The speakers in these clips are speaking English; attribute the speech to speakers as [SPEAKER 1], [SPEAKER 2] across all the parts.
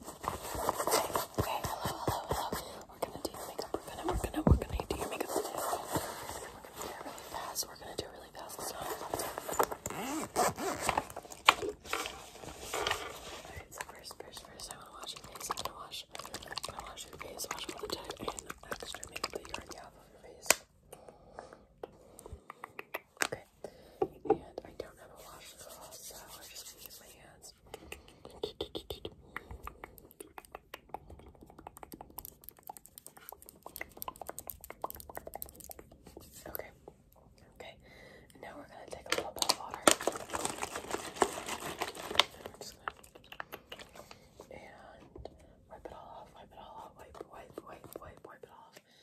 [SPEAKER 1] Okay, hello, hello, hello. We're gonna do your makeup. We're gonna, we're gonna, we're gonna do your makeup today. We're gonna do it really fast. We're gonna do it really fast. It's not
[SPEAKER 2] Alright, so first, first, first, I wanna wash your face. I'm gonna wash, I'm gonna wash your face, wash all the dirt and extra makeup that you already have on your face. Okay. Okay. And I don't have a washcloth, so I'm just gonna use my hands. Okay. Okay. now we're gonna take a little bit of water. And wipe it all off, wipe it all off, wipe, wipe, wipe, wipe, wipe it off.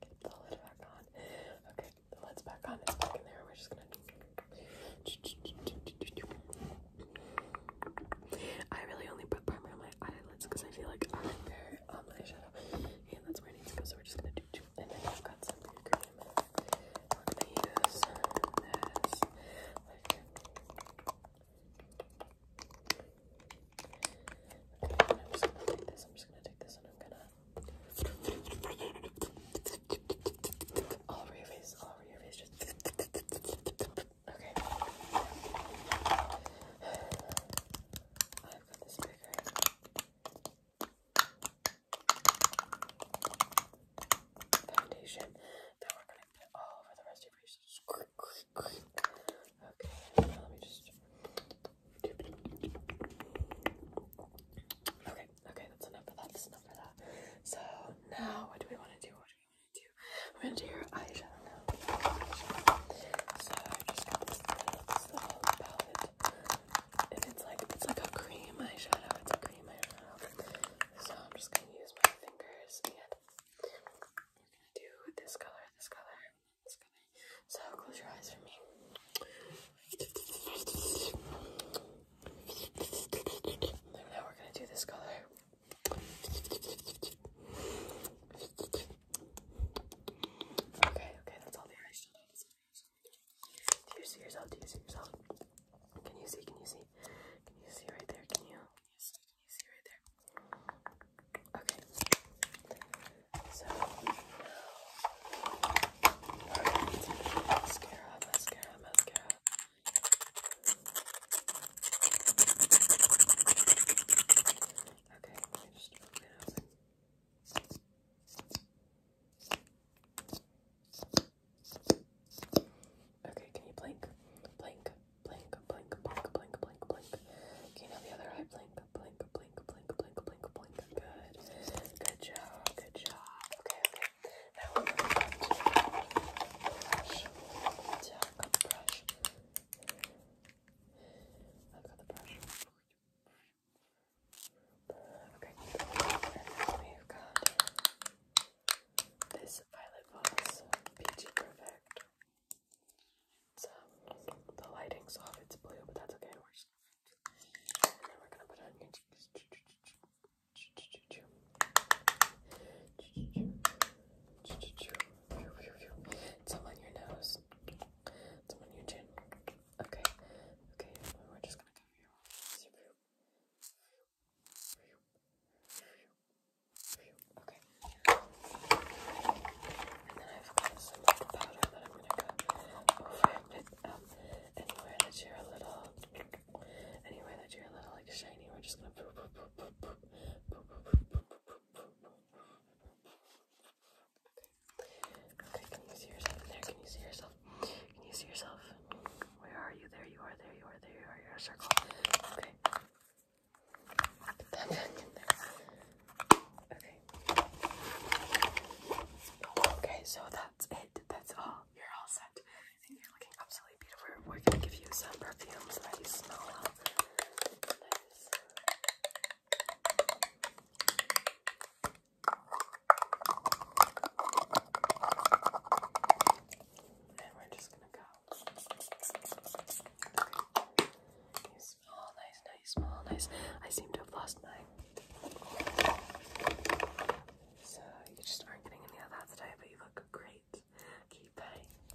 [SPEAKER 3] Get the lid back on. Okay, the lid's back on. It's back in there. We're just gonna. I really only put primer on my eyelids because I feel like I'm there um, my shadow, and that's where it needs to go. So we're just gonna do. And then I've got some cream. We're use this. Okay, I'm just gonna take this. and I'm gonna all over your face, all over your face, okay. I've got this Foundation
[SPEAKER 4] that we're gonna put all over the rest of your face. Okay, Okay, that's enough of that. That's enough of that. So now, what do we want to do? What do we want to do? We're gonna do your eyeshadow now. So I just got this little palette, and it's like it's like a cream eyeshadow. It's a cream eyeshadow. So I'm just gonna use my fingers and. I'm gonna do this color, this color, this color. So close your eyes for me. now we're gonna do this color. Okay, okay, that's all the see yourself? see yourself? Can you see? Can you see? Can you see right there? Can you? Can you see? Can you see right there? Okay. So Okay, Okay, can you blink? Blink, blink, blink, blink, blink, blink, blink. Can you now the other eye blink? Blink, blink, blink, blink, blink, blink. Good. Good job. Good job. Okay, okay. Now we're going to brush. Yeah, I've got the brush. I've got the brush. Okay, and then we've got this Violet Boss Peachy Perfect. the lighting's off, it's blue, but that's okay. And then we're gonna put on your cheeks. Some on your nose, some on your chin, Okay. Okay. We're just gonna Okay. And then I've got some like, powder that I'm gonna go over with um anywhere that you're a little anywhere that you're a little like shiny, we're just gonna Okay, can you see yourself in there? Can you see yourself? Can you see yourself? Where are you? There you are, there you are, there you are, you're a circle. Okay. Okay. so that's it. That's all. You're all set. you're looking absolutely beautiful. We're gonna give you some perfumes that you smell and we're just gonna go. Okay. nice, nice, you nice. I seem to have lost mine. So you just aren't getting any of that today, but you look great. Keep okay,